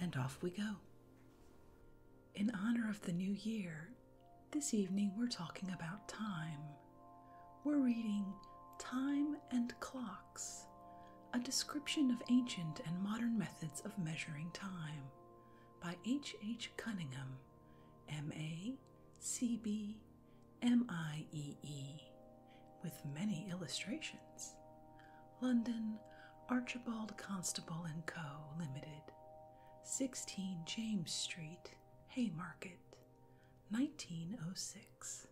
and off we go. In honor of the new year, this evening we're talking about time. We're reading Time and Clocks, a description of ancient and modern methods of measuring time by H. H. Cunningham, M. A. C. B. M. I. E. E., with many illustrations. London, Archibald Constable and Co. Limited, 16 James Street, Haymarket, 1906.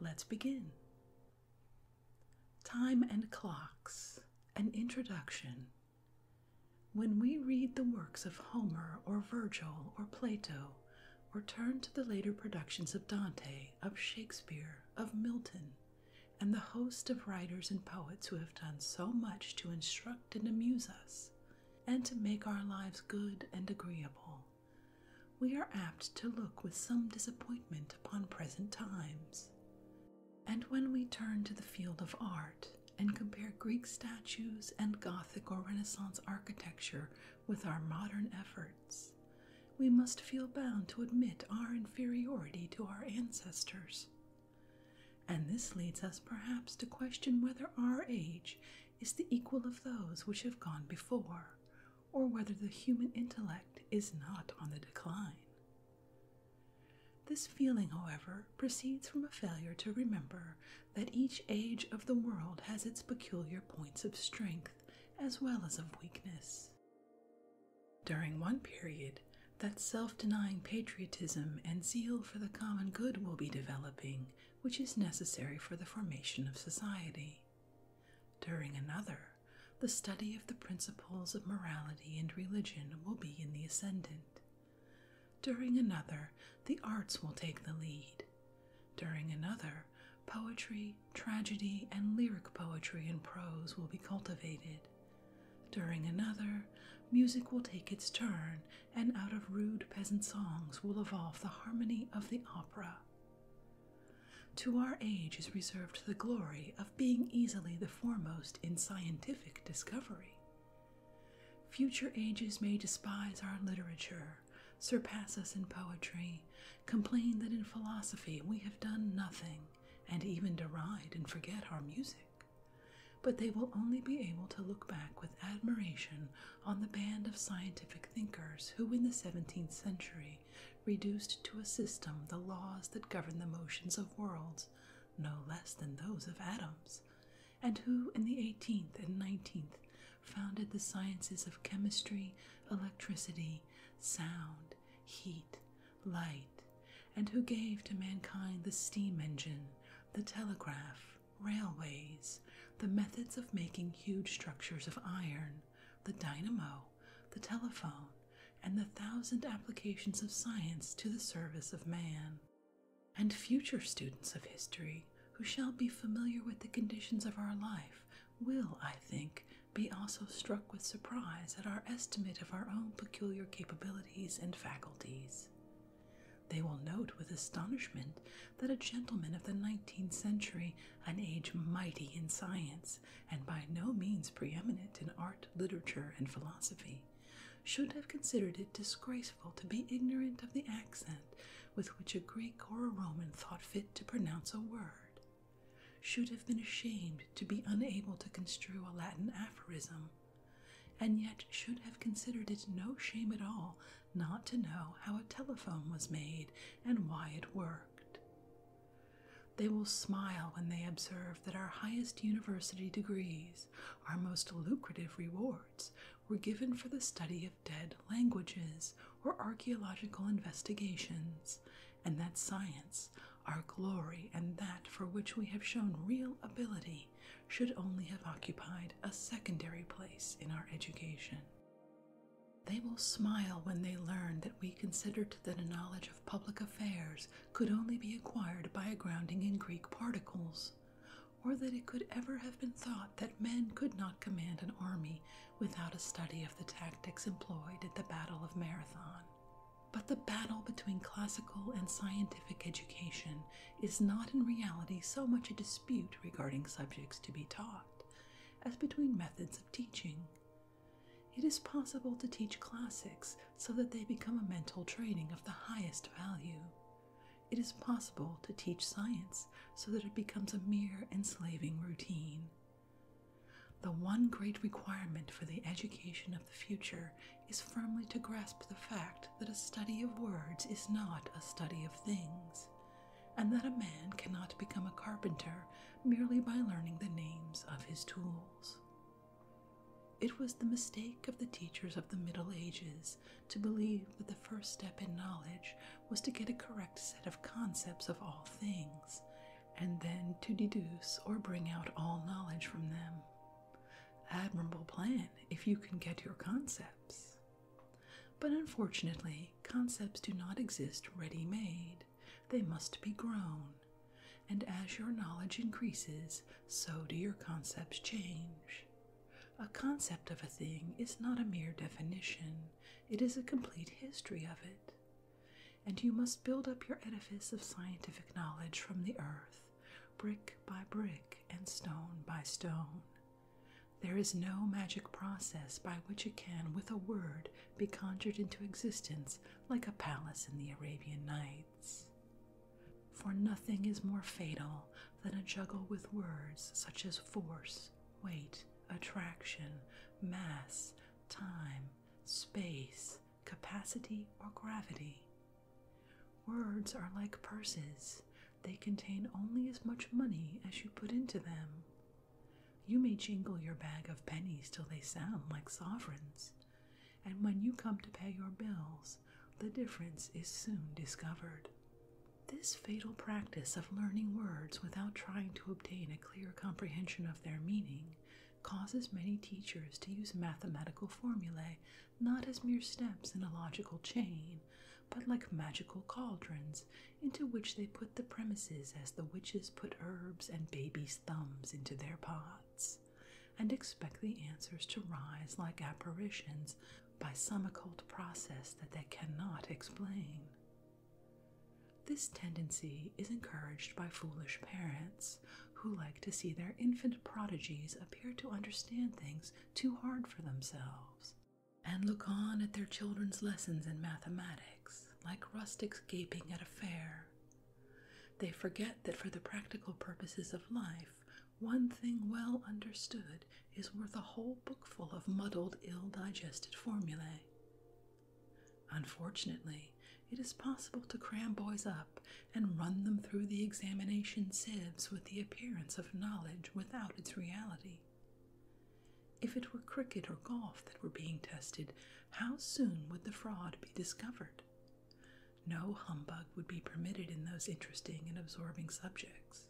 Let's begin. Time and Clocks An Introduction. When we read the works of Homer or Virgil or Plato, or turn to the later productions of Dante, of Shakespeare, of Milton, and the host of writers and poets who have done so much to instruct and amuse us, and to make our lives good and agreeable, we are apt to look with some disappointment upon present times. And when we turn to the field of art and compare Greek statues and Gothic or Renaissance architecture with our modern efforts, we must feel bound to admit our inferiority to our ancestors. And this leads us perhaps to question whether our age is the equal of those which have gone before, or whether the human intellect is not on the decline. This feeling, however, proceeds from a failure to remember that each age of the world has its peculiar points of strength as well as of weakness. During one period, that self denying patriotism and zeal for the common good will be developing, which is necessary for the formation of society. During another, the study of the principles of morality and religion will be in the ascendant. During another, the arts will take the lead. During another, poetry, tragedy, and lyric poetry and prose will be cultivated. During another, music will take its turn, and out of rude peasant songs will evolve the harmony of the opera. To our age is reserved the glory of being easily the foremost in scientific discovery. Future ages may despise our literature, surpass us in poetry, complain that in philosophy we have done nothing, and even deride and forget our music, but they will only be able to look back with admiration on the band of scientific thinkers who, in the 17th century, reduced to a system the laws that govern the motions of worlds no less than those of atoms, and who, in the 18th and 19th, founded the sciences of chemistry, electricity, sound, heat, light, and who gave to mankind the steam engine, the telegraph, railways, the methods of making huge structures of iron, the dynamo, the telephone, and the thousand applications of science to the service of man. And future students of history who shall be familiar with the conditions of our life will, I think, be also struck with surprise at our estimate of our own peculiar capabilities and faculties. They will note with astonishment that a gentleman of the nineteenth century, an age mighty in science and by no means preeminent in art, literature, and philosophy, should have considered it disgraceful to be ignorant of the accent with which a Greek or a Roman thought fit to pronounce a word, should have been ashamed to be unable to construe a Latin aphorism, and yet should have considered it no shame at all not to know how a telephone was made and why it worked. They will smile when they observe that our highest university degrees, our most lucrative rewards, were given for the study of dead languages or archaeological investigations, and that science, our glory, and that for which we have shown real ability, should only have occupied a secondary place in our education. They will smile when they learn that we considered that a knowledge of public affairs could only be acquired by a grounding in Greek particles, or that it could ever have been thought that men could not command an army without a study of the tactics employed at the Battle of Marathon. But the battle between classical and scientific education is not in reality so much a dispute regarding subjects to be taught as between methods of teaching. It is possible to teach classics so that they become a mental training of the highest value. It is possible to teach science so that it becomes a mere enslaving routine. The one great requirement for the education of the future is firmly to grasp the fact that a study of words is not a study of things, and that a man cannot become a carpenter merely by learning the names of his tools. It was the mistake of the teachers of the Middle Ages to believe that the first step in knowledge was to get a correct set of concepts of all things, and then to deduce or bring out all knowledge from them. Admirable plan if you can get your concepts. But unfortunately, concepts do not exist ready made, they must be grown. And as your knowledge increases, so do your concepts change. A concept of a thing is not a mere definition, it is a complete history of it and you must build up your edifice of scientific knowledge from the earth, brick by brick and stone by stone. There is no magic process by which it can, with a word, be conjured into existence like a palace in the Arabian Nights. For nothing is more fatal than a juggle with words such as force, weight, attraction, mass, time, space, capacity, or gravity. Words are like purses, they contain only as much money as you put into them. You may jingle your bag of pennies till they sound like sovereigns, and when you come to pay your bills, the difference is soon discovered. This fatal practice of learning words without trying to obtain a clear comprehension of their meaning causes many teachers to use mathematical formulae not as mere steps in a logical chain, but like magical cauldrons into which they put the premises as the witches put herbs and babies' thumbs into their pots, and expect the answers to rise like apparitions by some occult process that they cannot explain. This tendency is encouraged by foolish parents who like to see their infant prodigies appear to understand things too hard for themselves, and look on at their children's lessons in mathematics like rustics gaping at a fair. They forget that for the practical purposes of life, one thing well understood is worth a whole bookful of muddled, ill digested formulae. Unfortunately, it is possible to cram boys up and run them through the examination sieves with the appearance of knowledge without its reality. If it were cricket or golf that were being tested, how soon would the fraud be discovered? No humbug would be permitted in those interesting and absorbing subjects.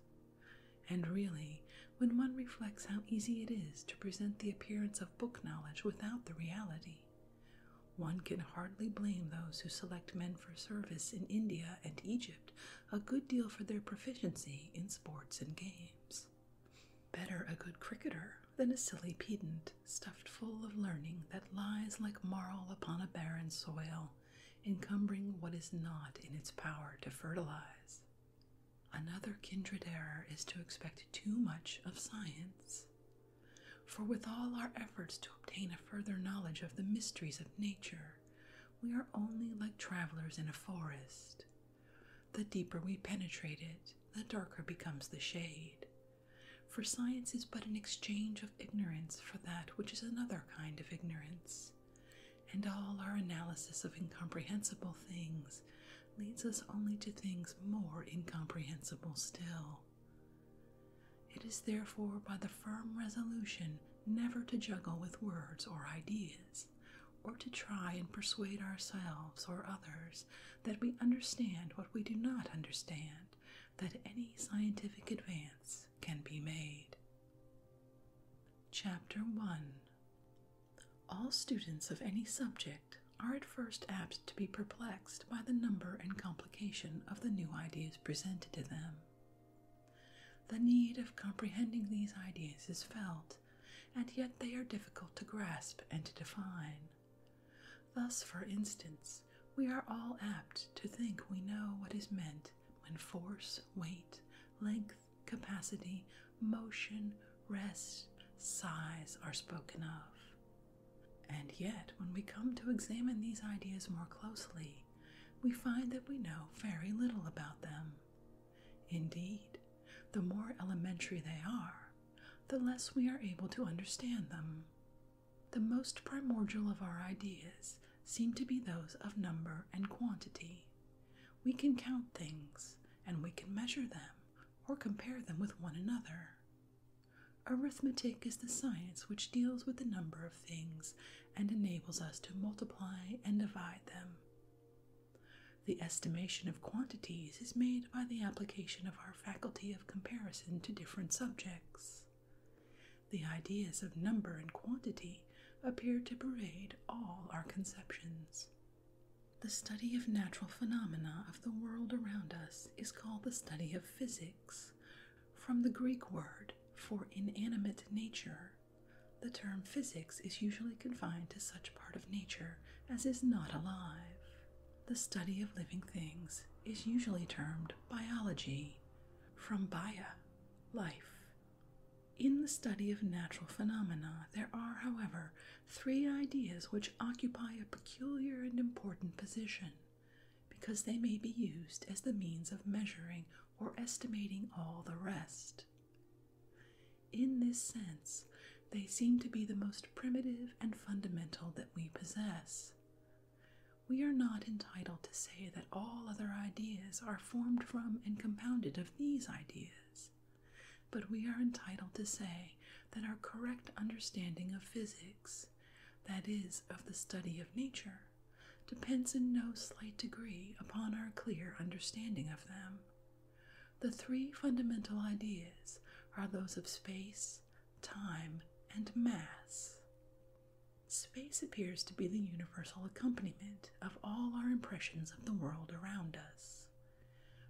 And really, when one reflects how easy it is to present the appearance of book knowledge without the reality, one can hardly blame those who select men for service in India and Egypt a good deal for their proficiency in sports and games. Better a good cricketer than a silly pedant stuffed full of learning that lies like marl upon a barren soil, encumbering what is not in its power to fertilize. Another kindred error is to expect too much of science. For with all our efforts to obtain a further knowledge of the mysteries of nature, we are only like travelers in a forest. The deeper we penetrate it, the darker becomes the shade. For science is but an exchange of ignorance for that which is another kind of ignorance, and all our analysis of incomprehensible things leads us only to things more incomprehensible still. It is therefore by the firm resolution never to juggle with words or ideas, or to try and persuade ourselves or others that we understand what we do not understand, that any scientific advance can be made. Chapter 1 All students of any subject are first apt to be perplexed by the number and complication of the new ideas presented to them. The need of comprehending these ideas is felt, and yet they are difficult to grasp and to define. Thus, for instance, we are all apt to think we know what is meant when force, weight, length, capacity, motion, rest, size are spoken of. And yet, when we come to examine these ideas more closely, we find that we know very little about them. Indeed, the more elementary they are, the less we are able to understand them. The most primordial of our ideas seem to be those of number and quantity. We can count things, and we can measure them or compare them with one another. Arithmetic is the science which deals with the number of things and enables us to multiply and divide them. The estimation of quantities is made by the application of our faculty of comparison to different subjects. The ideas of number and quantity appear to pervade all our conceptions. The study of natural phenomena of the world around us is called the study of physics, from the Greek word for inanimate nature, the term physics is usually confined to such part of nature as is not alive. The study of living things is usually termed biology, from bio, life. In the study of natural phenomena, there are, however, three ideas which occupy a peculiar and important position because they may be used as the means of measuring or estimating all the rest. In this sense, they seem to be the most primitive and fundamental that we possess. We are not entitled to say that all other ideas are formed from and compounded of these ideas, but we are entitled to say that our correct understanding of physics that is, of the study of nature, depends in no slight degree upon our clear understanding of them. The three fundamental ideas are those of space, time, and mass. Space appears to be the universal accompaniment of all our impressions of the world around us.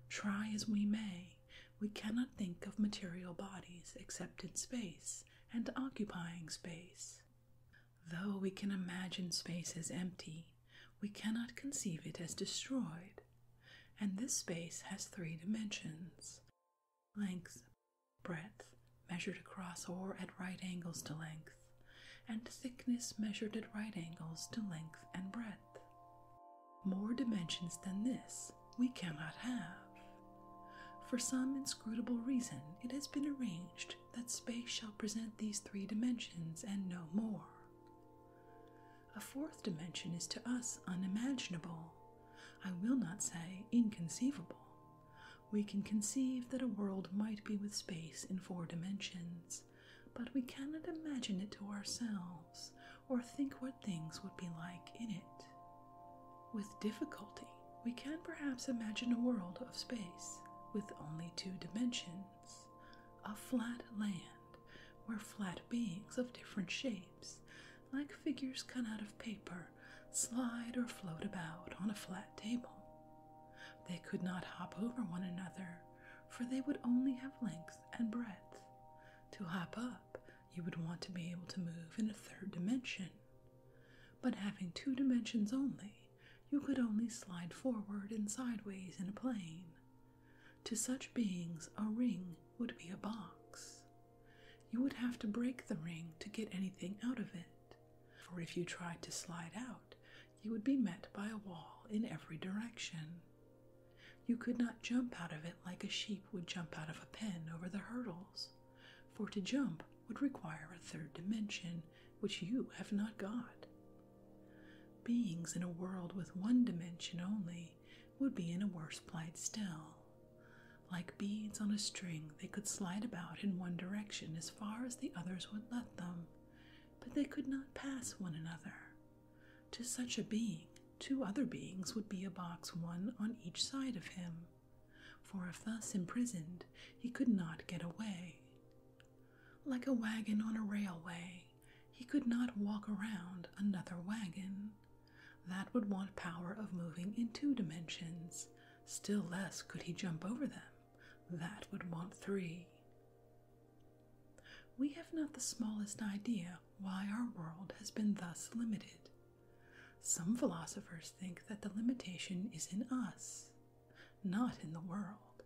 Try as we may, we cannot think of material bodies except in space and occupying space. Though we can imagine space as empty, we cannot conceive it as destroyed, and this space has three dimensions length, breadth, measured across or at right angles to length, and thickness measured at right angles to length and breadth. More dimensions than this we cannot have. For some inscrutable reason, it has been arranged that space shall present these three dimensions and no more. A fourth dimension is to us unimaginable, I will not say inconceivable. We can conceive that a world might be with space in four dimensions, but we cannot imagine it to ourselves or think what things would be like in it. With difficulty, we can perhaps imagine a world of space with only two dimensions, a flat land where flat beings of different shapes, like figures cut out of paper, slide or float about on a flat table. They could not hop over one another, for they would only have length and breadth. To hop up you would want to be able to move in a third dimension. But having two dimensions only, you could only slide forward and sideways in a plane. To such beings, a ring would be a box. You would have to break the ring to get anything out of it, for if you tried to slide out, you would be met by a wall in every direction. You could not jump out of it like a sheep would jump out of a pen over the hurdles, for to jump would require a third dimension, which you have not got. Beings in a world with one dimension only would be in a worse plight still. Like beads on a string, they could slide about in one direction as far as the others would let them, but they could not pass one another. To such a being, two other beings would be a box one on each side of him, for if thus imprisoned, he could not get away. Like a wagon on a railway, he could not walk around another wagon. That would want power of moving in two dimensions. Still less could he jump over them. That would want three. We have not the smallest idea why our world has been thus limited. Some philosophers think that the limitation is in us, not in the world,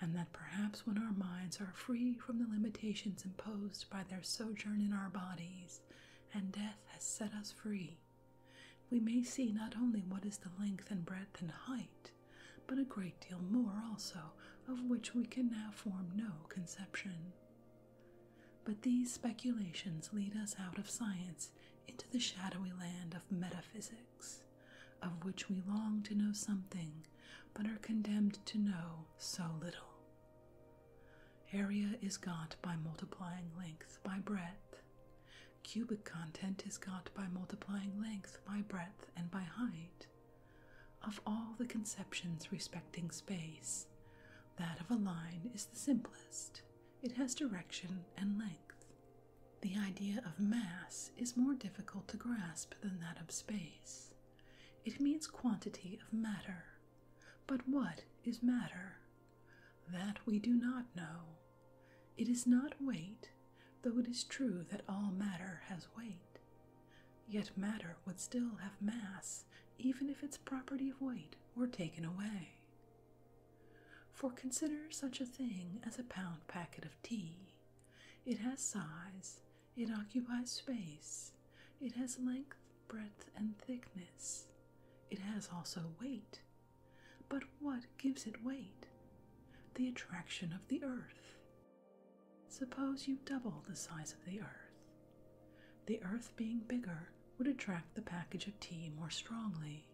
and that perhaps when our minds are free from the limitations imposed by their sojourn in our bodies and death has set us free, we may see not only what is the length and breadth and height, but a great deal more also of which we can now form no conception. But these speculations lead us out of science into the shadowy land of metaphysics, of which we long to know something but are condemned to know so little. Area is got by multiplying length by breadth. Cubic content is got by multiplying length by breadth and by height. Of all the conceptions respecting space, that of a line is the simplest, it has direction and length. The idea of mass is more difficult to grasp than that of space. It means quantity of matter. But what is matter? That we do not know. It is not weight, though it is true that all matter has weight. Yet matter would still have mass, even if its property of weight were taken away. For consider such a thing as a pound packet of tea. It has size, it occupies space, it has length, breadth, and thickness. It has also weight. But what gives it weight? The attraction of the earth. Suppose you double the size of the earth. The earth being bigger, would attract the package of tea more strongly.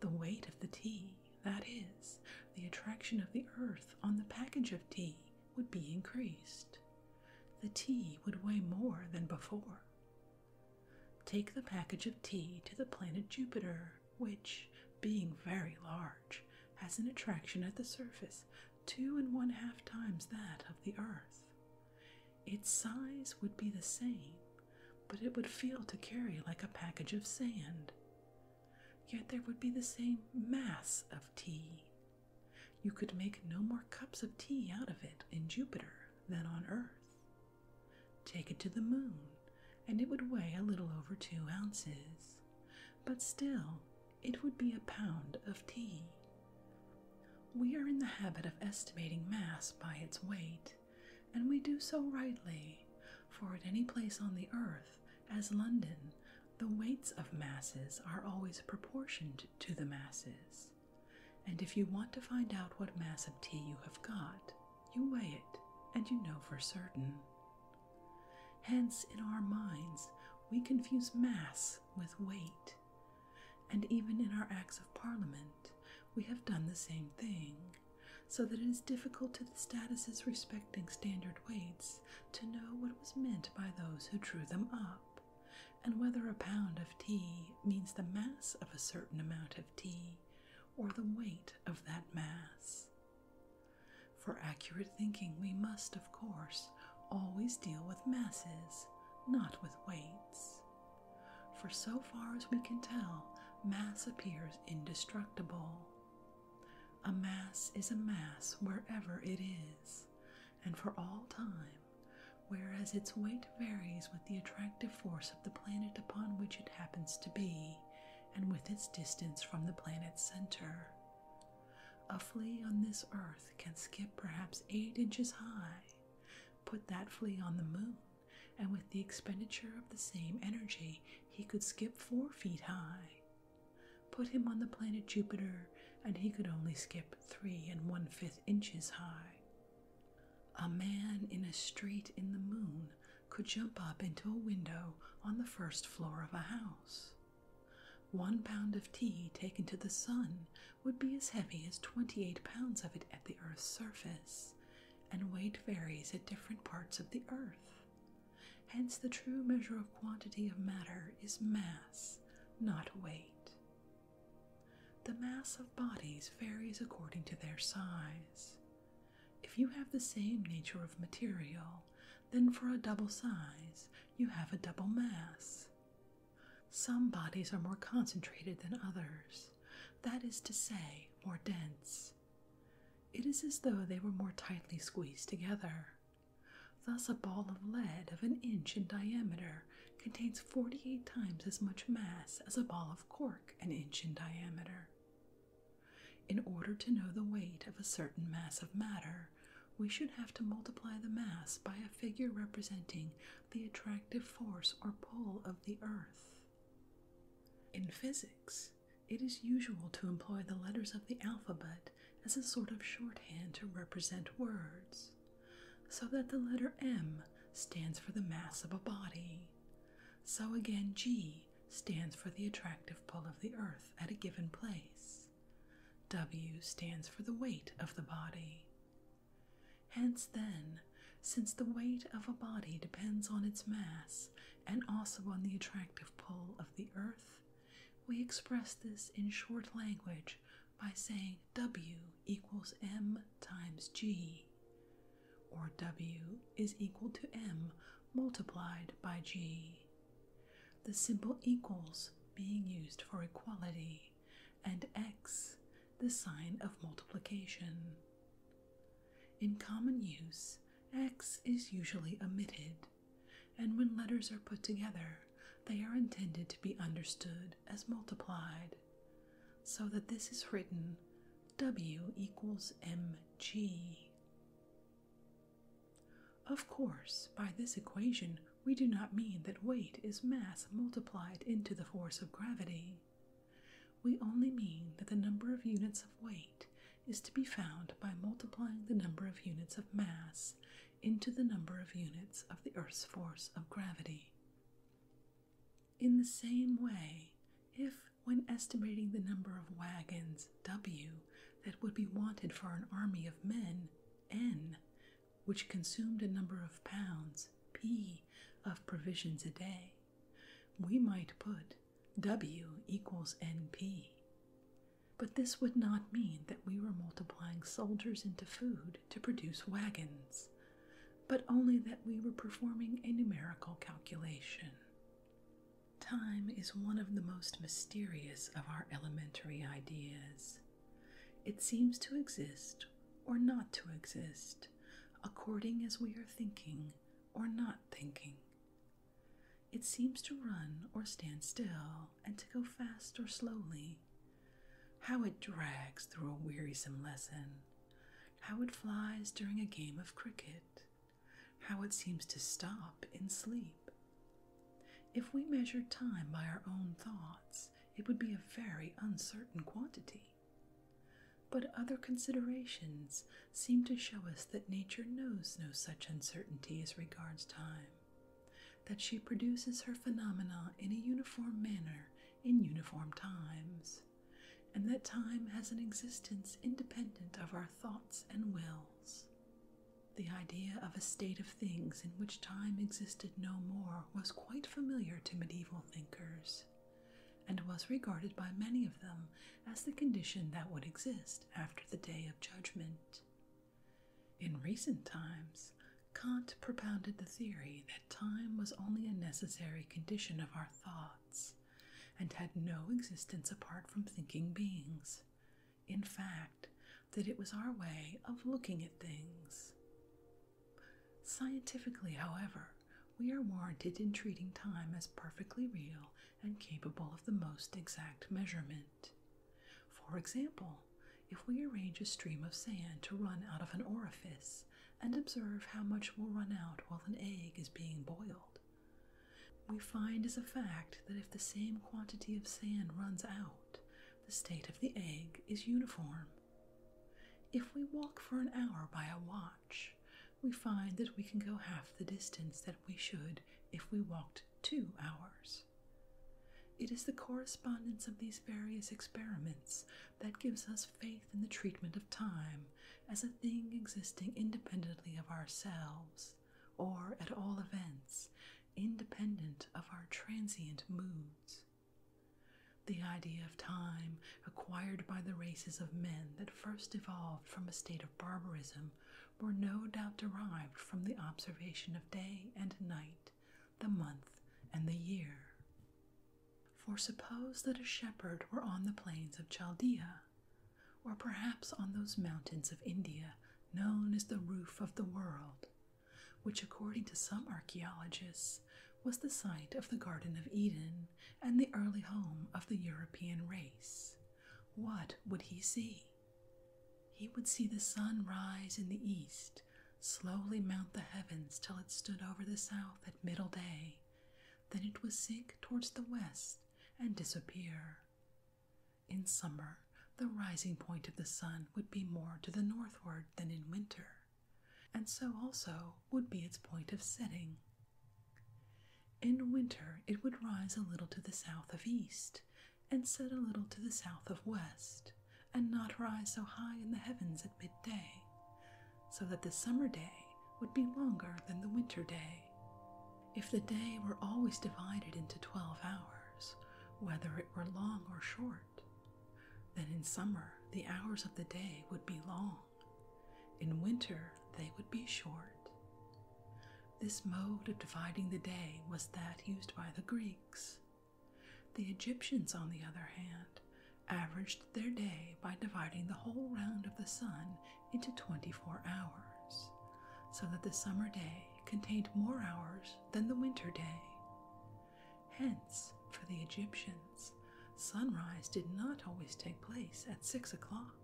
The weight of the tea, that is, the attraction of the earth on the package of tea, would be increased. The tea would weigh more than before. Take the package of tea to the planet Jupiter, which, being very large, has an attraction at the surface two and one half times that of the earth. Its size would be the same, but it would feel to carry like a package of sand. Yet there would be the same mass of tea. You could make no more cups of tea out of it in Jupiter than on Earth. Take it to the moon, and it would weigh a little over two ounces, but still it would be a pound of tea. We are in the habit of estimating mass by its weight, and we do so rightly, for at any place on the earth, as London, the weights of masses are always proportioned to the masses. And if you want to find out what mass of tea you have got, you weigh it, and you know for certain. Hence, in our minds, we confuse mass with weight, and even in our acts of parliament we have done the same thing, so that it is difficult to the statuses respecting standard weights to know what was meant by those who drew them up, and whether a pound of tea means the mass of a certain amount of tea or the weight of that mass. For accurate thinking, we must, of course, always deal with masses, not with weights. For so far as we can tell, mass appears indestructible. A mass is a mass wherever it is, and for all time, whereas its weight varies with the attractive force of the planet upon which it happens to be, and with its distance from the planet's center. A flea on this earth can skip perhaps eight inches high. Put that flea on the moon, and with the expenditure of the same energy, he could skip four feet high. Put him on the planet Jupiter, and he could only skip three and one fifth inches high. A man in a street in the moon could jump up into a window on the first floor of a house. One pound of tea taken to the sun would be as heavy as 28 pounds of it at the Earth's surface, and weight varies at different parts of the Earth. Hence, the true measure of quantity of matter is mass, not weight. The mass of bodies varies according to their size. If you have the same nature of material, then for a double size, you have a double mass. Some bodies are more concentrated than others, that is to say, more dense. It is as though they were more tightly squeezed together. Thus, a ball of lead of an inch in diameter contains 48 times as much mass as a ball of cork an inch in diameter. In order to know the weight of a certain mass of matter, we should have to multiply the mass by a figure representing the attractive force or pull of the earth. In physics, it is usual to employ the letters of the alphabet as a sort of shorthand to represent words, so that the letter M stands for the mass of a body. So again, G stands for the attractive pull of the earth at a given place. W stands for the weight of the body. Hence, then, since the weight of a body depends on its mass and also on the attractive pull of the earth, we express this in short language by saying W equals m times g, or W is equal to m multiplied by g. The symbol equals being used for equality, and x the sign of multiplication. In common use, x is usually omitted, and when letters are put together, they are intended to be understood as multiplied, so that this is written w equals mg. Of course, by this equation, we do not mean that weight is mass multiplied into the force of gravity. We only mean that the number of units of weight is to be found by multiplying the number of units of mass into the number of units of the Earth's force of gravity. In the same way, if when estimating the number of wagons W that would be wanted for an army of men N, which consumed a number of pounds P of provisions a day, we might put W equals NP. But this would not mean that we were multiplying soldiers into food to produce wagons, but only that we were performing a numerical calculation. Time is one of the most mysterious of our elementary ideas. It seems to exist or not to exist according as we are thinking or not thinking. It seems to run or stand still and to go fast or slowly. How it drags through a wearisome lesson, how it flies during a game of cricket, how it seems to stop in sleep. If we measured time by our own thoughts, it would be a very uncertain quantity. But other considerations seem to show us that nature knows no such uncertainty as regards time, that she produces her phenomena in a uniform manner in uniform times, and that time has an existence independent of our thoughts and wills. The idea of a state of things in which time existed no more was quite familiar to medieval thinkers, and was regarded by many of them as the condition that would exist after the day of judgment. In recent times, Kant propounded the theory that time was only a necessary condition of our thoughts and had no existence apart from thinking beings. In fact, that it was our way of looking at things. Scientifically, however, we are warranted in treating time as perfectly real and capable of the most exact measurement. For example, if we arrange a stream of sand to run out of an orifice and observe how much will run out while an egg is being boiled, we find as a fact that if the same quantity of sand runs out, the state of the egg is uniform. If we walk for an hour by a watch, we find that we can go half the distance that we should if we walked two hours. It is the correspondence of these various experiments that gives us faith in the treatment of time as a thing existing independently of ourselves, or at all events, independent of our transient moods the idea of time acquired by the races of men that first evolved from a state of barbarism were no doubt derived from the observation of day and night, the month and the year. For suppose that a shepherd were on the plains of Chaldea, or perhaps on those mountains of India known as the roof of the world, which, according to some archaeologists, was the site of the Garden of Eden and the early home of the European race. What would he see? He would see the sun rise in the east, slowly mount the heavens till it stood over the south at middle day. Then it would sink towards the west and disappear. In summer, the rising point of the sun would be more to the northward than in winter, and so also would be its point of setting. In winter, it would rise a little to the south of east, and set a little to the south of west, and not rise so high in the heavens at midday, so that the summer day would be longer than the winter day. If the day were always divided into twelve hours, whether it were long or short, then in summer the hours of the day would be long, in winter, they would be short. This mode of dividing the day was that used by the Greeks. The Egyptians, on the other hand, averaged their day by dividing the whole round of the sun into 24 hours, so that the summer day contained more hours than the winter day. Hence, for the Egyptians, sunrise did not always take place at six o'clock,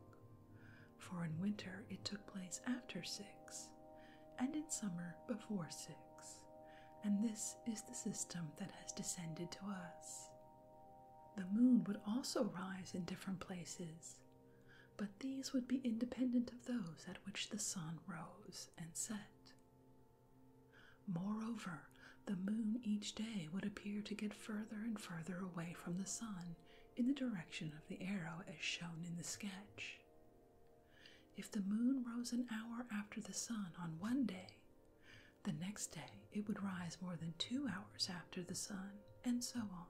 for in winter it took place after six, and in summer before six, and this is the system that has descended to us. The moon would also rise in different places, but these would be independent of those at which the sun rose and set. Moreover, the moon each day would appear to get further and further away from the sun in the direction of the arrow as shown in the sketch. If the moon rose an hour after the sun on one day, the next day it would rise more than two hours after the sun, and so on.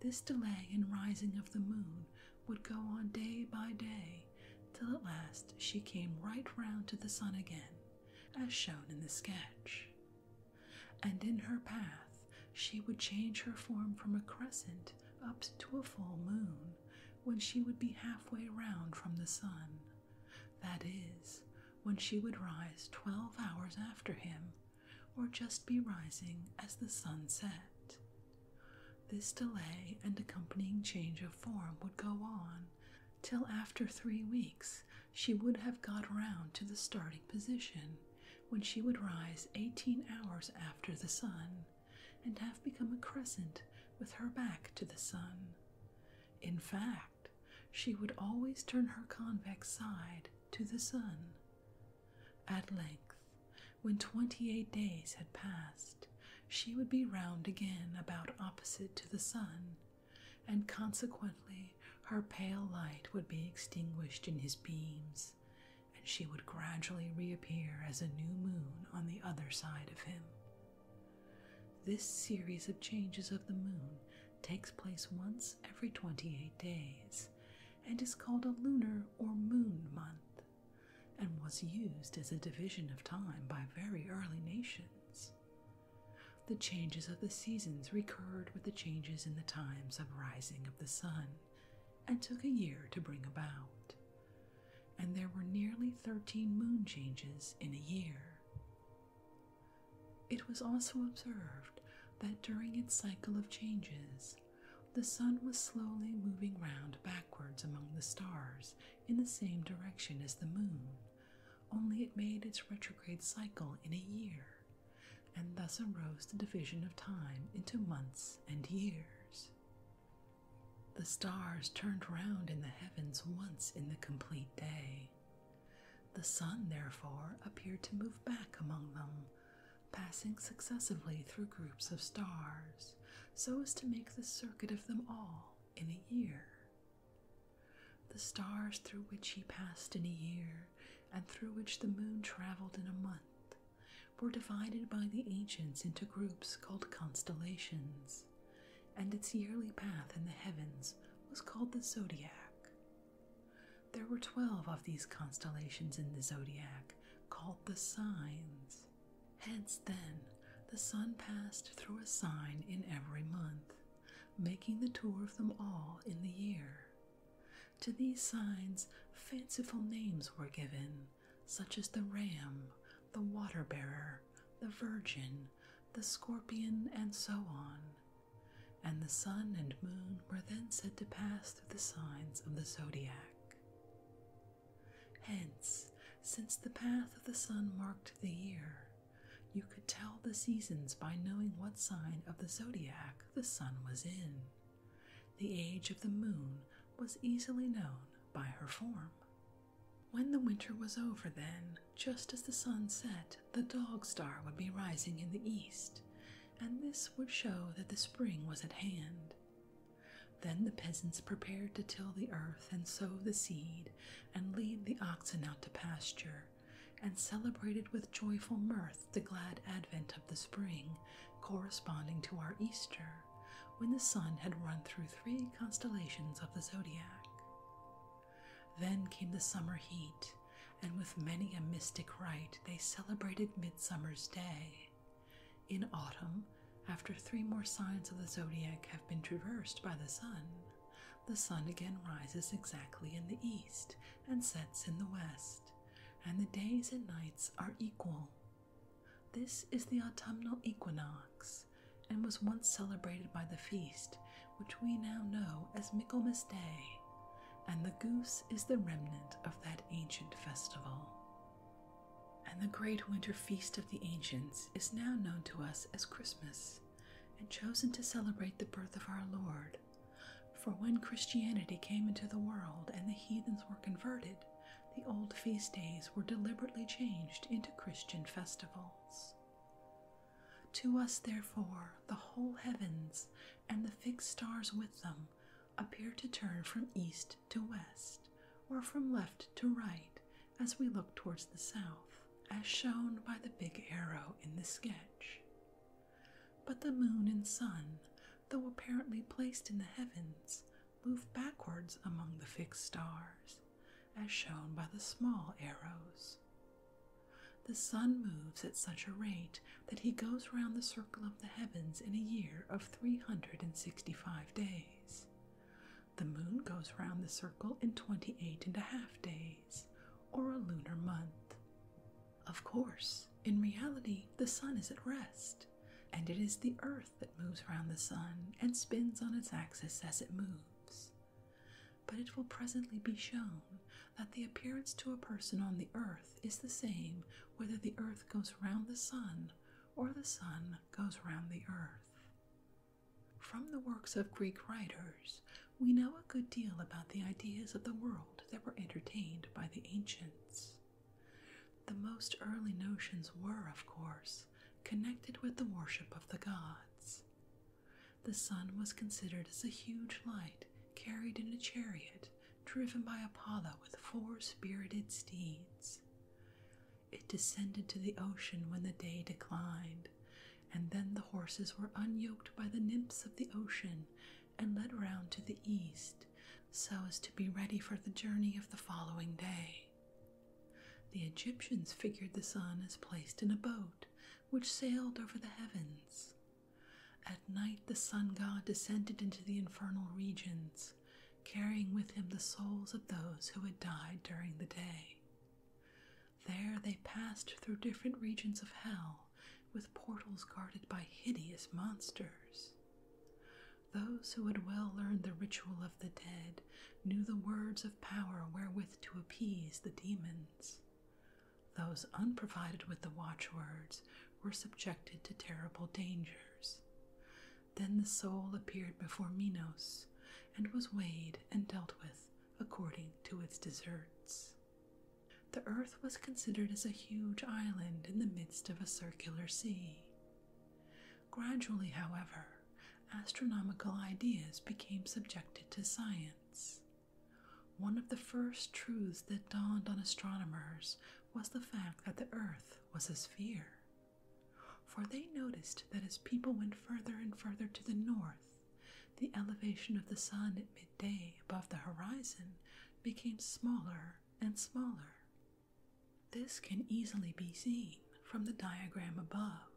This delay in rising of the moon would go on day by day till at last she came right round to the sun again as shown in the sketch. And in her path, she would change her form from a crescent up to a full moon when she would be halfway round from the sun. That is, when she would rise twelve hours after him, or just be rising as the sun set. This delay and accompanying change of form would go on till after three weeks she would have got round to the starting position, when she would rise eighteen hours after the sun, and have become a crescent with her back to the sun. In fact, she would always turn her convex side to the sun. At length, when twenty eight days had passed, she would be round again about opposite to the sun, and consequently her pale light would be extinguished in his beams, and she would gradually reappear as a new moon on the other side of him. This series of changes of the moon takes place once every 28 days and is called a lunar or moon month and was used as a division of time by very early nations. The changes of the seasons recurred with the changes in the times of rising of the sun and took a year to bring about. And there were nearly 13 moon changes in a year. It was also observed that during its cycle of changes, the sun was slowly moving round backwards among the stars in the same direction as the moon, only it made its retrograde cycle in a year, and thus arose the division of time into months and years. The stars turned round in the heavens once in the complete day. The sun, therefore, appeared to move back among them, passing successively through groups of stars, so as to make the circuit of them all in a year. The stars through which he passed in a year, and through which the moon travelled in a month, were divided by the ancients into groups called constellations, and its yearly path in the heavens was called the zodiac. There were twelve of these constellations in the zodiac, called the signs. Hence, then, the sun passed through a sign in every month, making the tour of them all in the year. To these signs, fanciful names were given, such as the ram, the water bearer, the virgin, the scorpion, and so on. And the sun and moon were then said to pass through the signs of the zodiac. Hence, since the path of the sun marked the year, you could tell the seasons by knowing what sign of the zodiac the sun was in. The age of the moon was easily known by her form. When the winter was over, then, just as the sun set, the dog star would be rising in the east, and this would show that the spring was at hand. Then the peasants prepared to till the earth and sow the seed and lead the oxen out to pasture and celebrated with joyful mirth the glad advent of the spring, corresponding to our Easter, when the sun had run through three constellations of the zodiac. Then came the summer heat, and with many a mystic rite they celebrated Midsummer's Day. In autumn, after three more signs of the zodiac have been traversed by the sun, the sun again rises exactly in the east and sets in the west, and the days and nights are equal. This is the autumnal equinox, and was once celebrated by the feast which we now know as Michaelmas Day, and the goose is the remnant of that ancient festival. And the great winter feast of the ancients is now known to us as Christmas, and chosen to celebrate the birth of our Lord. For when Christianity came into the world and the heathens were converted, the old feast days were deliberately changed into Christian festivals. To us, therefore, the whole heavens and the fixed stars with them appear to turn from east to west, or from left to right, as we look towards the south, as shown by the big arrow in the sketch. But the moon and sun, though apparently placed in the heavens, move backwards among the fixed stars, as shown by the small arrows. The sun moves at such a rate that he goes round the circle of the heavens in a year of 365 days. The moon goes round the circle in twenty-eight and a half days or a lunar month. Of course, in reality, the sun is at rest, and it is the earth that moves around the sun and spins on its axis as it moves. But it will presently be shown that the appearance to a person on the earth is the same whether the earth goes round the sun or the sun goes round the earth. From the works of Greek writers, we know a good deal about the ideas of the world that were entertained by the ancients. The most early notions were, of course, connected with the worship of the gods. The sun was considered as a huge light carried in a chariot driven by Apollo with four spirited steeds. It descended to the ocean when the day declined and then the horses were unyoked by the nymphs of the ocean and led round to the east, so as to be ready for the journey of the following day. The Egyptians figured the sun as placed in a boat which sailed over the heavens. At night the sun god descended into the infernal regions, carrying with him the souls of those who had died during the day. There they passed through different regions of hell, with portals guarded by hideous monsters. Those who had well learned the ritual of the dead knew the words of power wherewith to appease the demons. Those unprovided with the watchwords were subjected to terrible dangers. Then the soul appeared before Minos and was weighed and dealt with according to its deserts. The earth was considered as a huge island in the midst of a circular sea. Gradually, however, astronomical ideas became subjected to science. One of the first truths that dawned on astronomers was the fact that the earth was a sphere. For they noticed that as people went further and further to the north, the elevation of the sun at midday above the horizon became smaller and smaller. This can easily be seen from the diagram above.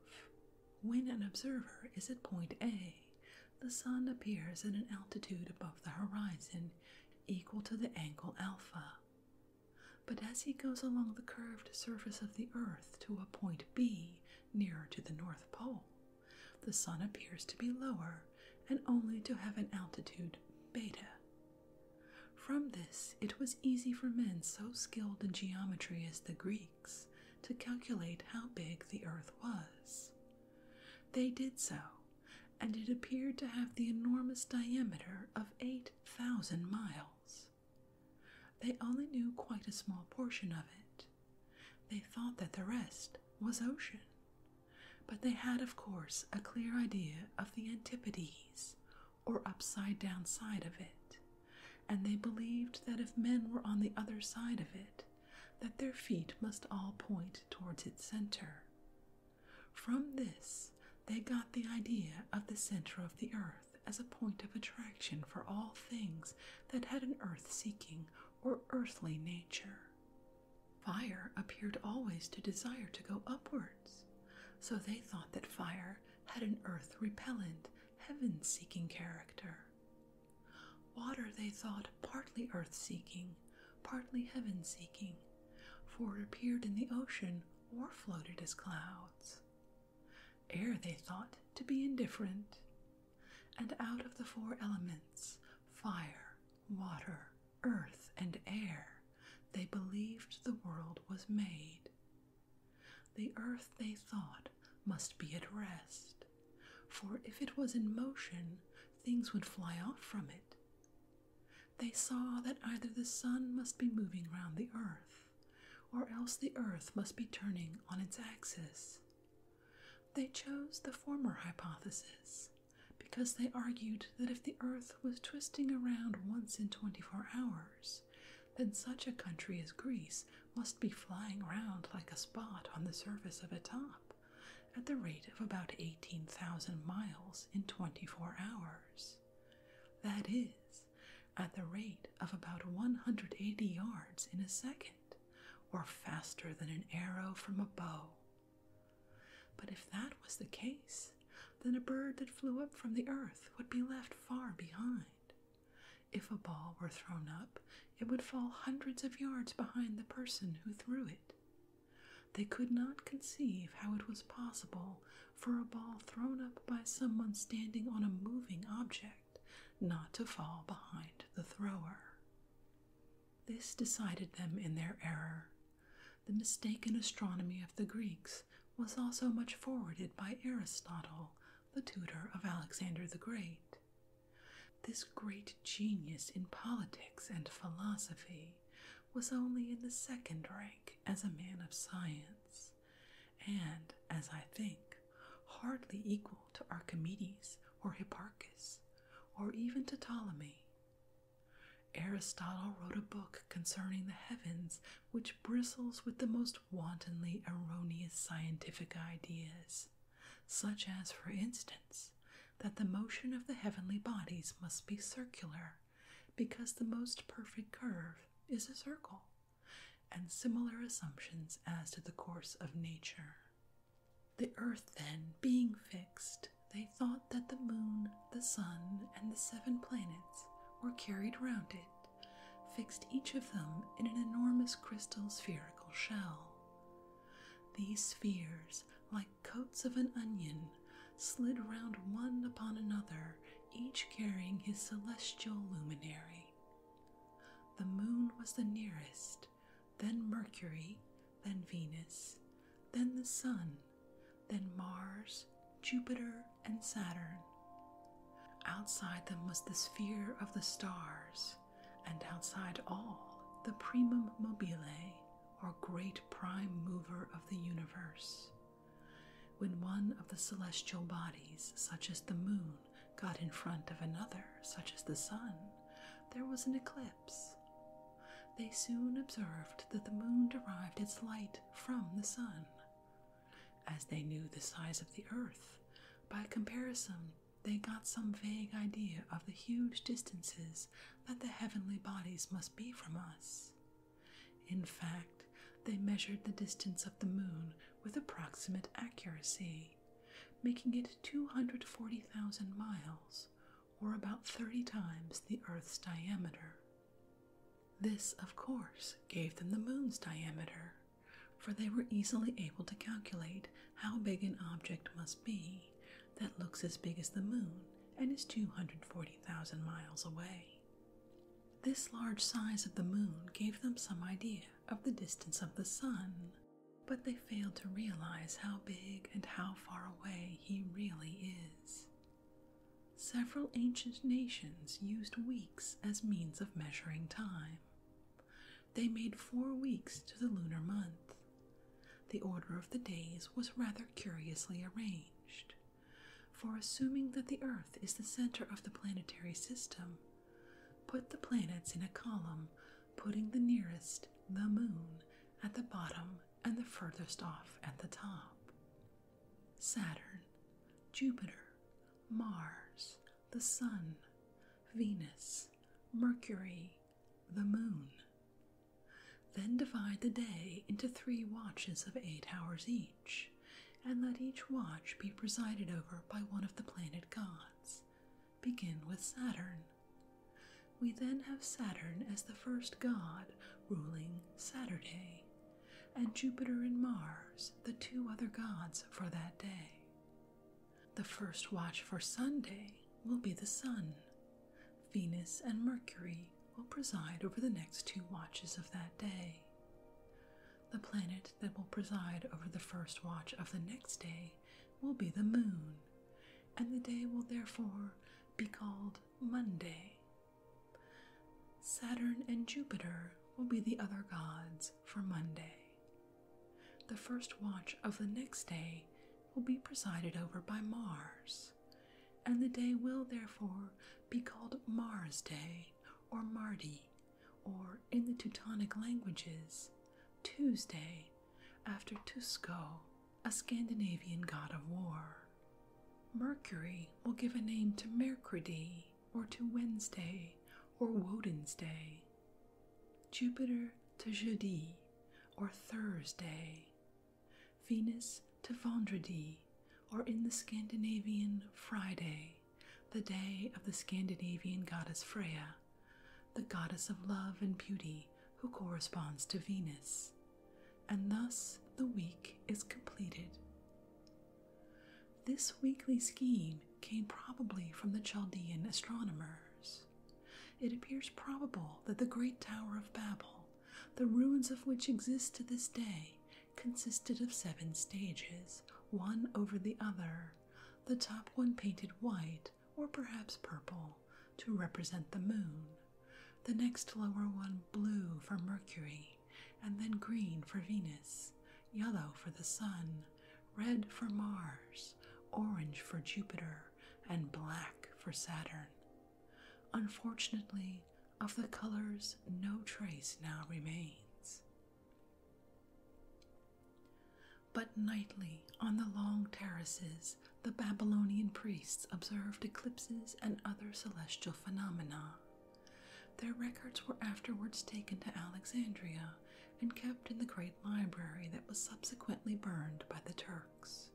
When an observer is at point A, the sun appears at an altitude above the horizon equal to the angle alpha. But as he goes along the curved surface of the earth to a point B nearer to the North Pole, the sun appears to be lower and only to have an altitude beta. From this, it was easy for men so skilled in geometry as the Greeks to calculate how big the earth was. They did so, and it appeared to have the enormous diameter of 8,000 miles. They only knew quite a small portion of it, they thought that the rest was ocean. But they had, of course, a clear idea of the antipodes, or upside down side of it, and they believed that if men were on the other side of it, that their feet must all point towards its center. From this, they got the idea of the center of the earth as a point of attraction for all things that had an earth seeking or earthly nature. Fire appeared always to desire to go upwards, so they thought that fire had an earth repellent, heaven seeking character. Water, they thought, partly earth seeking, partly heaven seeking, for it appeared in the ocean or floated as clouds. Air, they thought, to be indifferent, and out of the four elements, fire, water, earth, and air, they believed the world was made. The earth, they thought, must be at rest, for if it was in motion, things would fly off from it. They saw that either the sun must be moving round the earth, or else the earth must be turning on its axis. They chose the former hypothesis because they argued that if the earth was twisting around once in 24 hours, then such a country as Greece must be flying round like a spot on the surface of a top at the rate of about 18,000 miles in 24 hours. That is, at the rate of about 180 yards in a second or faster than an arrow from a bow. But if that was the case, then a bird that flew up from the earth would be left far behind. If a ball were thrown up, it would fall hundreds of yards behind the person who threw it. They could not conceive how it was possible for a ball thrown up by someone standing on a moving object not to fall behind the thrower. This decided them in their error. The mistaken astronomy of the Greeks was also much forwarded by Aristotle, the tutor of Alexander the Great. This great genius in politics and philosophy was only in the second rank as a man of science, and, as I think, hardly equal to Archimedes or Hipparchus, or even to Ptolemy. Aristotle wrote a book concerning the heavens which bristles with the most wantonly erroneous scientific ideas, such as, for instance, that the motion of the heavenly bodies must be circular because the most perfect curve is a circle, and similar assumptions as to the course of nature. The earth, then, being fixed, they thought that the moon, the sun, and the seven planets were carried round it, fixed each of them in an enormous crystal spherical shell. These spheres, like coats of an onion, slid round one upon another, each carrying his celestial luminary. The moon was the nearest, then Mercury, then Venus, then the Sun, then Mars, Jupiter, and Saturn. Outside them was the sphere of the stars, and outside all the primum mobile, or great prime mover of the universe. When one of the celestial bodies, such as the moon, got in front of another, such as the sun, there was an eclipse. They soon observed that the moon derived its light from the sun, as they knew the size of the earth. By comparison, they got some vague idea of the huge distances that the heavenly bodies must be from us. In fact, they measured the distance of the moon with approximate accuracy, making it 240,000 miles, or about 30 times the Earth's diameter. This, of course, gave them the moon's diameter, for they were easily able to calculate how big an object must be that looks as big as the moon and is 240,000 miles away. This large size of the moon gave them some idea of the distance of the sun, but they fail to realize how big and how far away he really is. Several ancient nations used weeks as means of measuring time. They made four weeks to the lunar month. The order of the days was rather curiously arranged, for assuming that the Earth is the center of the planetary system, put the planets in a column putting the nearest, the moon, at the bottom and the furthest off at the top. Saturn, Jupiter, Mars, the Sun, Venus, Mercury, the Moon. Then divide the day into three watches of eight hours each, and let each watch be presided over by one of the planet gods begin with Saturn. We then have Saturn as the first god ruling Saturday, and Jupiter and Mars, the two other gods for that day. The first watch for Sunday will be the Sun. Venus and Mercury will preside over the next two watches of that day. The planet that will preside over the first watch of the next day will be the moon, and the day will therefore be called Monday. Saturn and Jupiter will be the other gods for Monday. The first watch of the next day will be presided over by Mars, and the day will therefore be called Mars Day or Mardi, or in the Teutonic languages, Tuesday after Tusco a Scandinavian god of war. Mercury will give a name to Mercredi, or to Wednesday, or Woden's Day. Jupiter to Jodi, or Thursday. Venus to Vendredi, or in the Scandinavian Friday, the day of the Scandinavian goddess Freya the goddess of love and beauty who corresponds to Venus, and thus the week is completed. This weekly scheme came probably from the Chaldean astronomers. It appears probable that the Great Tower of Babel, the ruins of which exist to this day, consisted of seven stages, one over the other, the top one painted white, or perhaps purple to represent the moon, the next lower one blue for Mercury, and then green for Venus, yellow for the Sun, red for Mars, orange for Jupiter, and black for Saturn. Unfortunately, of the colors, no trace now remains. But nightly on the long terraces the Babylonian priests observed eclipses and other celestial phenomena. Their records were afterwards taken to Alexandria and kept in the great library that was subsequently burned by the Turks.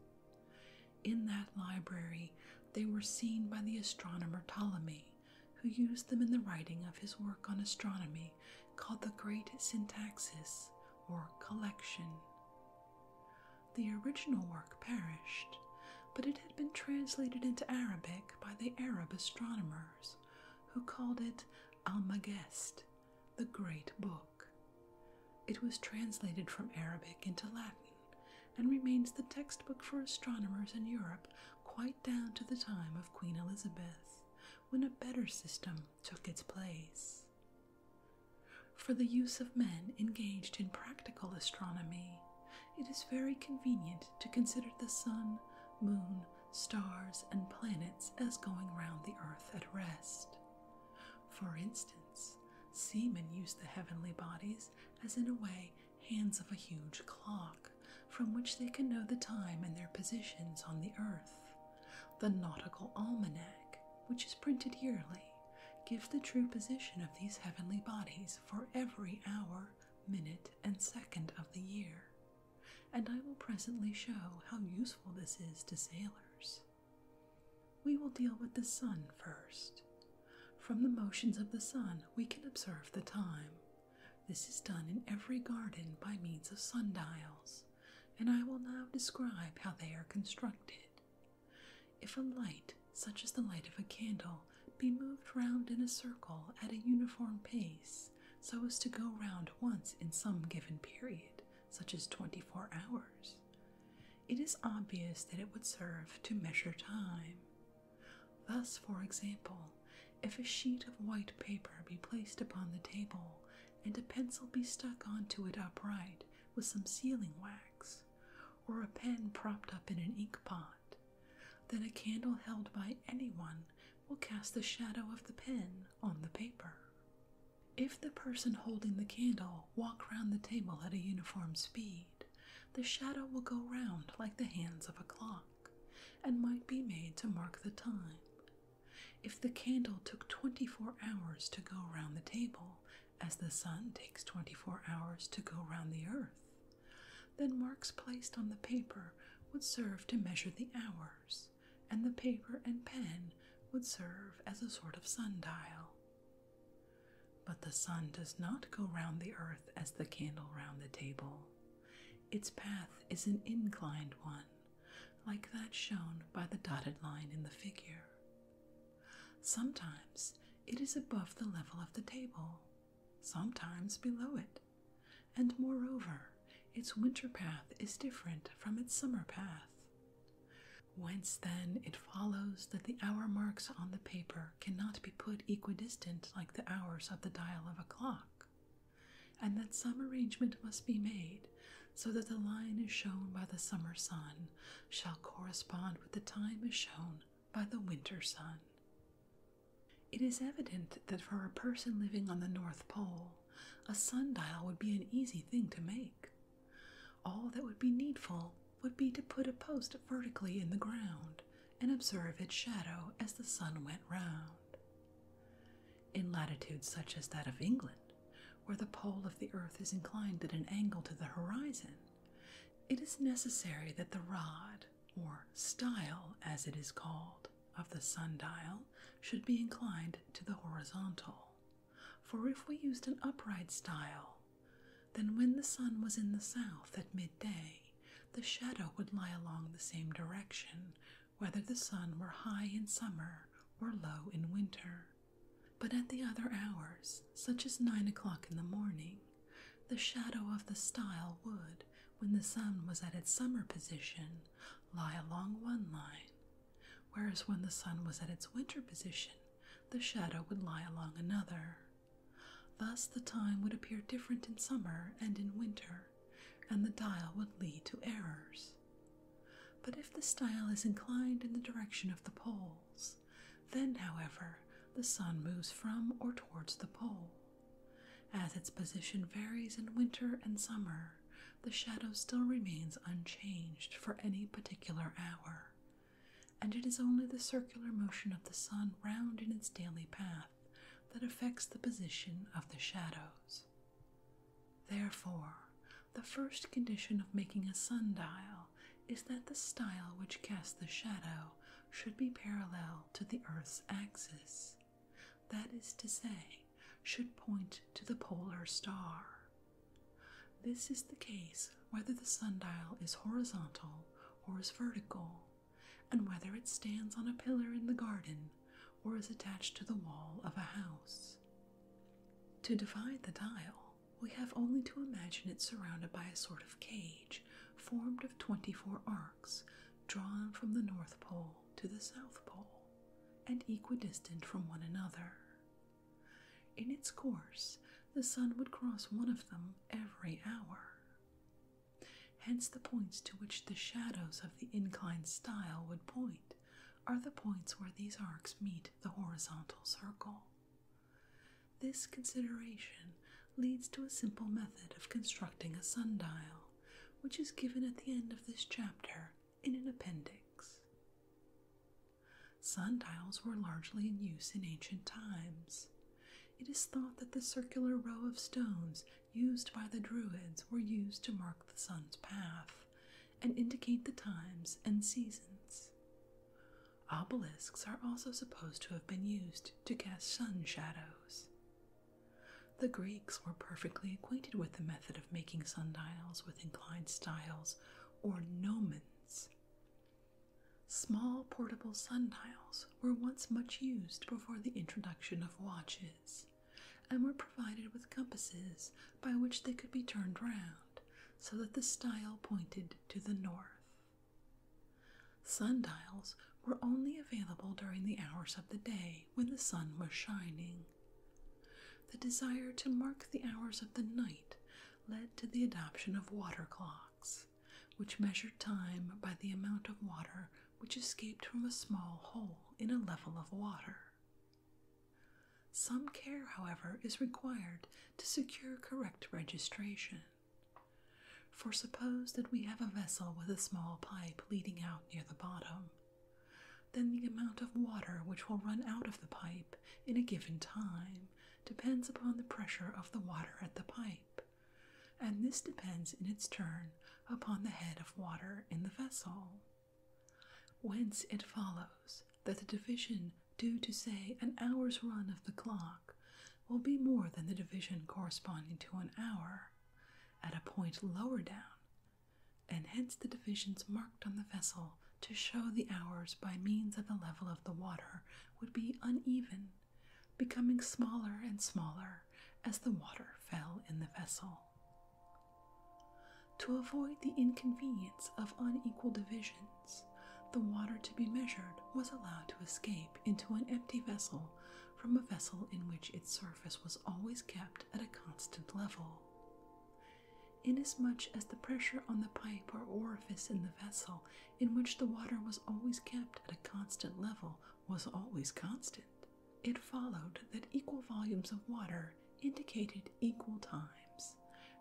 In that library, they were seen by the astronomer Ptolemy, who used them in the writing of his work on astronomy called the Great Syntaxis, or Collection. The original work perished, but it had been translated into Arabic by the Arab astronomers, who called it Almagest, the Great Book. It was translated from Arabic into Latin and remains the textbook for astronomers in Europe quite down to the time of Queen Elizabeth, when a better system took its place. For the use of men engaged in practical astronomy, it is very convenient to consider the sun, moon, stars, and planets as going round the earth at rest. For instance, seamen use the heavenly bodies as, in a way, hands of a huge clock, from which they can know the time and their positions on the earth, the Nautical Almanac, which is printed yearly, gives the true position of these heavenly bodies for every hour, minute, and second of the year, and I will presently show how useful this is to sailors. We will deal with the sun first. From the motions of the sun, we can observe the time. This is done in every garden by means of sundials, and I will now describe how they are constructed. If a light, such as the light of a candle, be moved round in a circle at a uniform pace, so as to go round once in some given period, such as 24 hours, it is obvious that it would serve to measure time. Thus, for example, if a sheet of white paper be placed upon the table and a pencil be stuck onto it upright with some sealing wax, or a pen propped up in an ink pot, then a candle held by anyone will cast the shadow of the pen on the paper. If the person holding the candle walk round the table at a uniform speed, the shadow will go round like the hands of a clock, and might be made to mark the time. If the candle took 24 hours to go round the table, as the sun takes 24 hours to go round the earth. Then marks placed on the paper would serve to measure the hours, and the paper and pen would serve as a sort of sundial. But the sun does not go round the earth as the candle round the table. Its path is an inclined one, like that shown by the dotted line in the figure. Sometimes it is above the level of the table, sometimes below it, and moreover, its winter path is different from its summer path. Whence then it follows that the hour marks on the paper cannot be put equidistant like the hours of the dial of a clock, and that some arrangement must be made so that the line as shown by the summer sun shall correspond with the time as shown by the winter sun. It is evident that for a person living on the North Pole, a sundial would be an easy thing to make. All that would be needful would be to put a post vertically in the ground and observe its shadow as the sun went round. In latitudes such as that of England, where the pole of the earth is inclined at an angle to the horizon, it is necessary that the rod, or style as it is called, of the sundial should be inclined to the horizontal. For if we used an upright style, then when the sun was in the south at midday, the shadow would lie along the same direction, whether the sun were high in summer or low in winter. But at the other hours, such as nine o'clock in the morning, the shadow of the stile would, when the sun was at its summer position, lie along one line, whereas when the sun was at its winter position, the shadow would lie along another. Thus the time would appear different in summer and in winter, and the dial would lead to errors. But if the style is inclined in the direction of the poles, then, however, the sun moves from or towards the pole. As its position varies in winter and summer, the shadow still remains unchanged for any particular hour, and it is only the circular motion of the sun round in its daily path that affects the position of the shadows. Therefore, the first condition of making a sundial is that the style which casts the shadow should be parallel to the Earth's axis, that is to say, should point to the polar star. This is the case whether the sundial is horizontal or is vertical, and whether it stands on a pillar in the garden or is attached to the wall of a house. To divide the dial, we have only to imagine it surrounded by a sort of cage formed of 24 arcs drawn from the North Pole to the South Pole and equidistant from one another. In its course, the sun would cross one of them every hour. Hence, the points to which the shadows of the inclined style would point are the points where these arcs meet the horizontal circle. This consideration leads to a simple method of constructing a sundial, which is given at the end of this chapter in an appendix. Sundials were largely in use in ancient times. It is thought that the circular row of stones used by the Druids were used to mark the sun's path and indicate the times and seasons. Obelisks are also supposed to have been used to cast sun shadows. The Greeks were perfectly acquainted with the method of making sundials with inclined styles or gnomons. Small portable sundials were once much used before the introduction of watches and were provided with compasses by which they could be turned round so that the style pointed to the north. Sundials were only available during the hours of the day when the sun was shining. The desire to mark the hours of the night led to the adoption of water clocks, which measured time by the amount of water which escaped from a small hole in a level of water. Some care, however, is required to secure correct registration. For suppose that we have a vessel with a small pipe leading out near the bottom, then the amount of water which will run out of the pipe in a given time depends upon the pressure of the water at the pipe, and this depends in its turn upon the head of water in the vessel. Whence it follows that the division due to, say, an hour's run of the clock will be more than the division corresponding to an hour at a point lower down, and hence the divisions marked on the vessel to show the hours by means of the level of the water would be uneven, becoming smaller and smaller as the water fell in the vessel. To avoid the inconvenience of unequal division, the water to be measured was allowed to escape into an empty vessel from a vessel in which its surface was always kept at a constant level. Inasmuch as the pressure on the pipe or orifice in the vessel in which the water was always kept at a constant level was always constant, it followed that equal volumes of water indicated equal times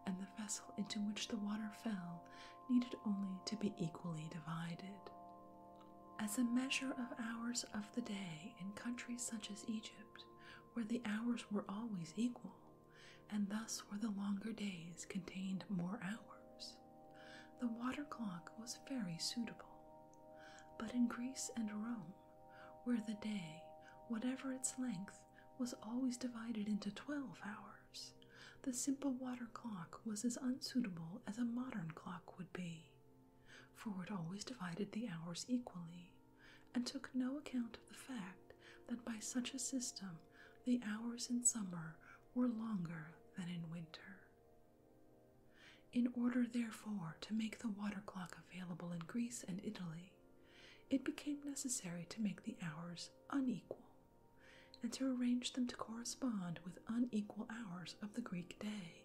and the vessel into which the water fell needed only to be equally divided. As a measure of hours of the day in countries such as Egypt, where the hours were always equal, and thus where the longer days contained more hours, the water clock was very suitable. But in Greece and Rome, where the day, whatever its length, was always divided into twelve hours, the simple water clock was as unsuitable as a modern clock would be, for it always divided the hours equally, and took no account of the fact that by such a system the hours in summer were longer than in winter. In order, therefore, to make the water clock available in Greece and Italy, it became necessary to make the hours unequal and to arrange them to correspond with unequal hours of the Greek day.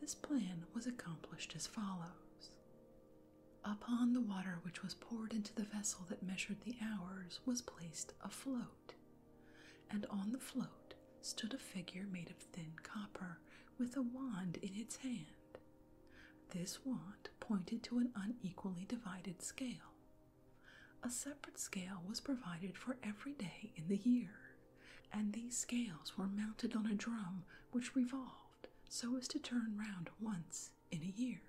This plan was accomplished as follows. Upon the water which was poured into the vessel that measured the hours was placed a float, and on the float stood a figure made of thin copper with a wand in its hand. This wand pointed to an unequally divided scale, a separate scale was provided for every day in the year, and these scales were mounted on a drum which revolved so as to turn round once in a year.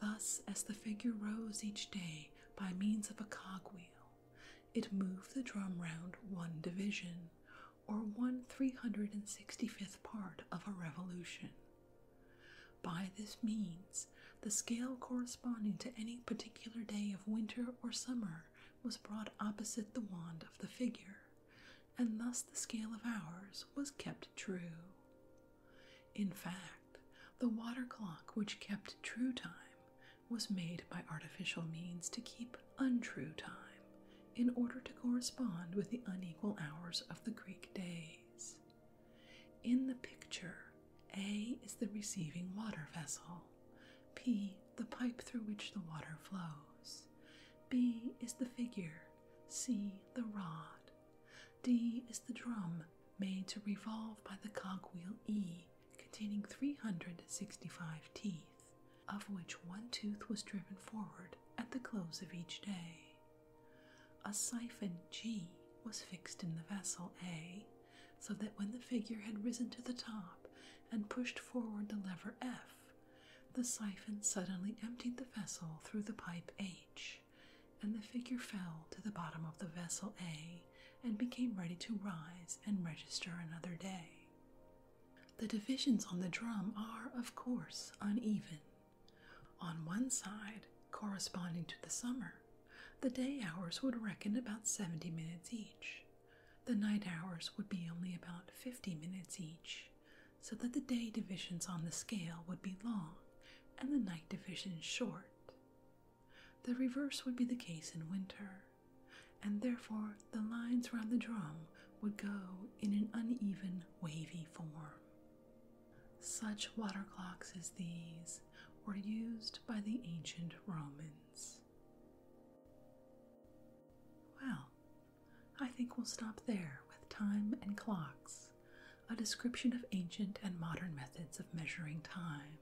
Thus, as the figure rose each day by means of a cogwheel, it moved the drum round one division, or one 365th part of a revolution. By this means, the scale corresponding to any particular day of winter or summer was brought opposite the wand of the figure, and thus the scale of hours was kept true. In fact, the water clock which kept true time was made by artificial means to keep untrue time in order to correspond with the unequal hours of the Greek days. In the picture, A is the receiving water vessel, P the pipe through which the water flows, B is the figure, C the rod, D is the drum made to revolve by the cogwheel E containing 365 teeth, of which one tooth was driven forward at the close of each day. A siphon G was fixed in the vessel A so that when the figure had risen to the top and pushed forward the lever F, the siphon suddenly emptied the vessel through the pipe H, and the figure fell to the bottom of the vessel A and became ready to rise and register another day. The divisions on the drum are, of course, uneven, on one side, corresponding to the summer, the day hours would reckon about 70 minutes each. The night hours would be only about 50 minutes each, so that the day divisions on the scale would be long and the night divisions short. The reverse would be the case in winter, and therefore the lines round the drum would go in an uneven, wavy form. Such water clocks as these were used by the ancient Romans. Well, I think we'll stop there with time and clocks, a description of ancient and modern methods of measuring time.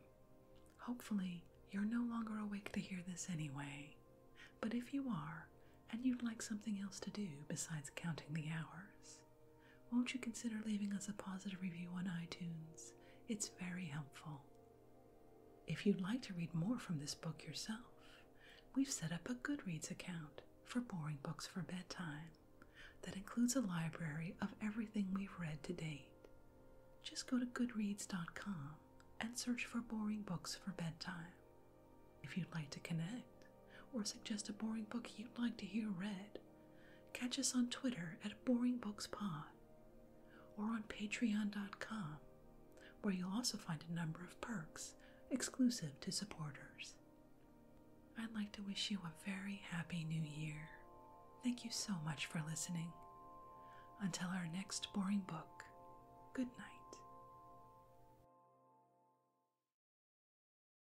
Hopefully, you're no longer awake to hear this anyway, but if you are, and you'd like something else to do besides counting the hours, won't you consider leaving us a positive review on iTunes? It's very helpful. If you'd like to read more from this book yourself, we've set up a Goodreads account for Boring Books for Bedtime that includes a library of everything we've read to date. Just go to goodreads.com and search for Boring Books for Bedtime. If you'd like to connect, or suggest a boring book you'd like to hear read, catch us on Twitter at BoringBooksPod or on Patreon.com, where you'll also find a number of perks exclusive to supporters. I'd like to wish you a very happy new year. Thank you so much for listening. Until our next boring book, good night.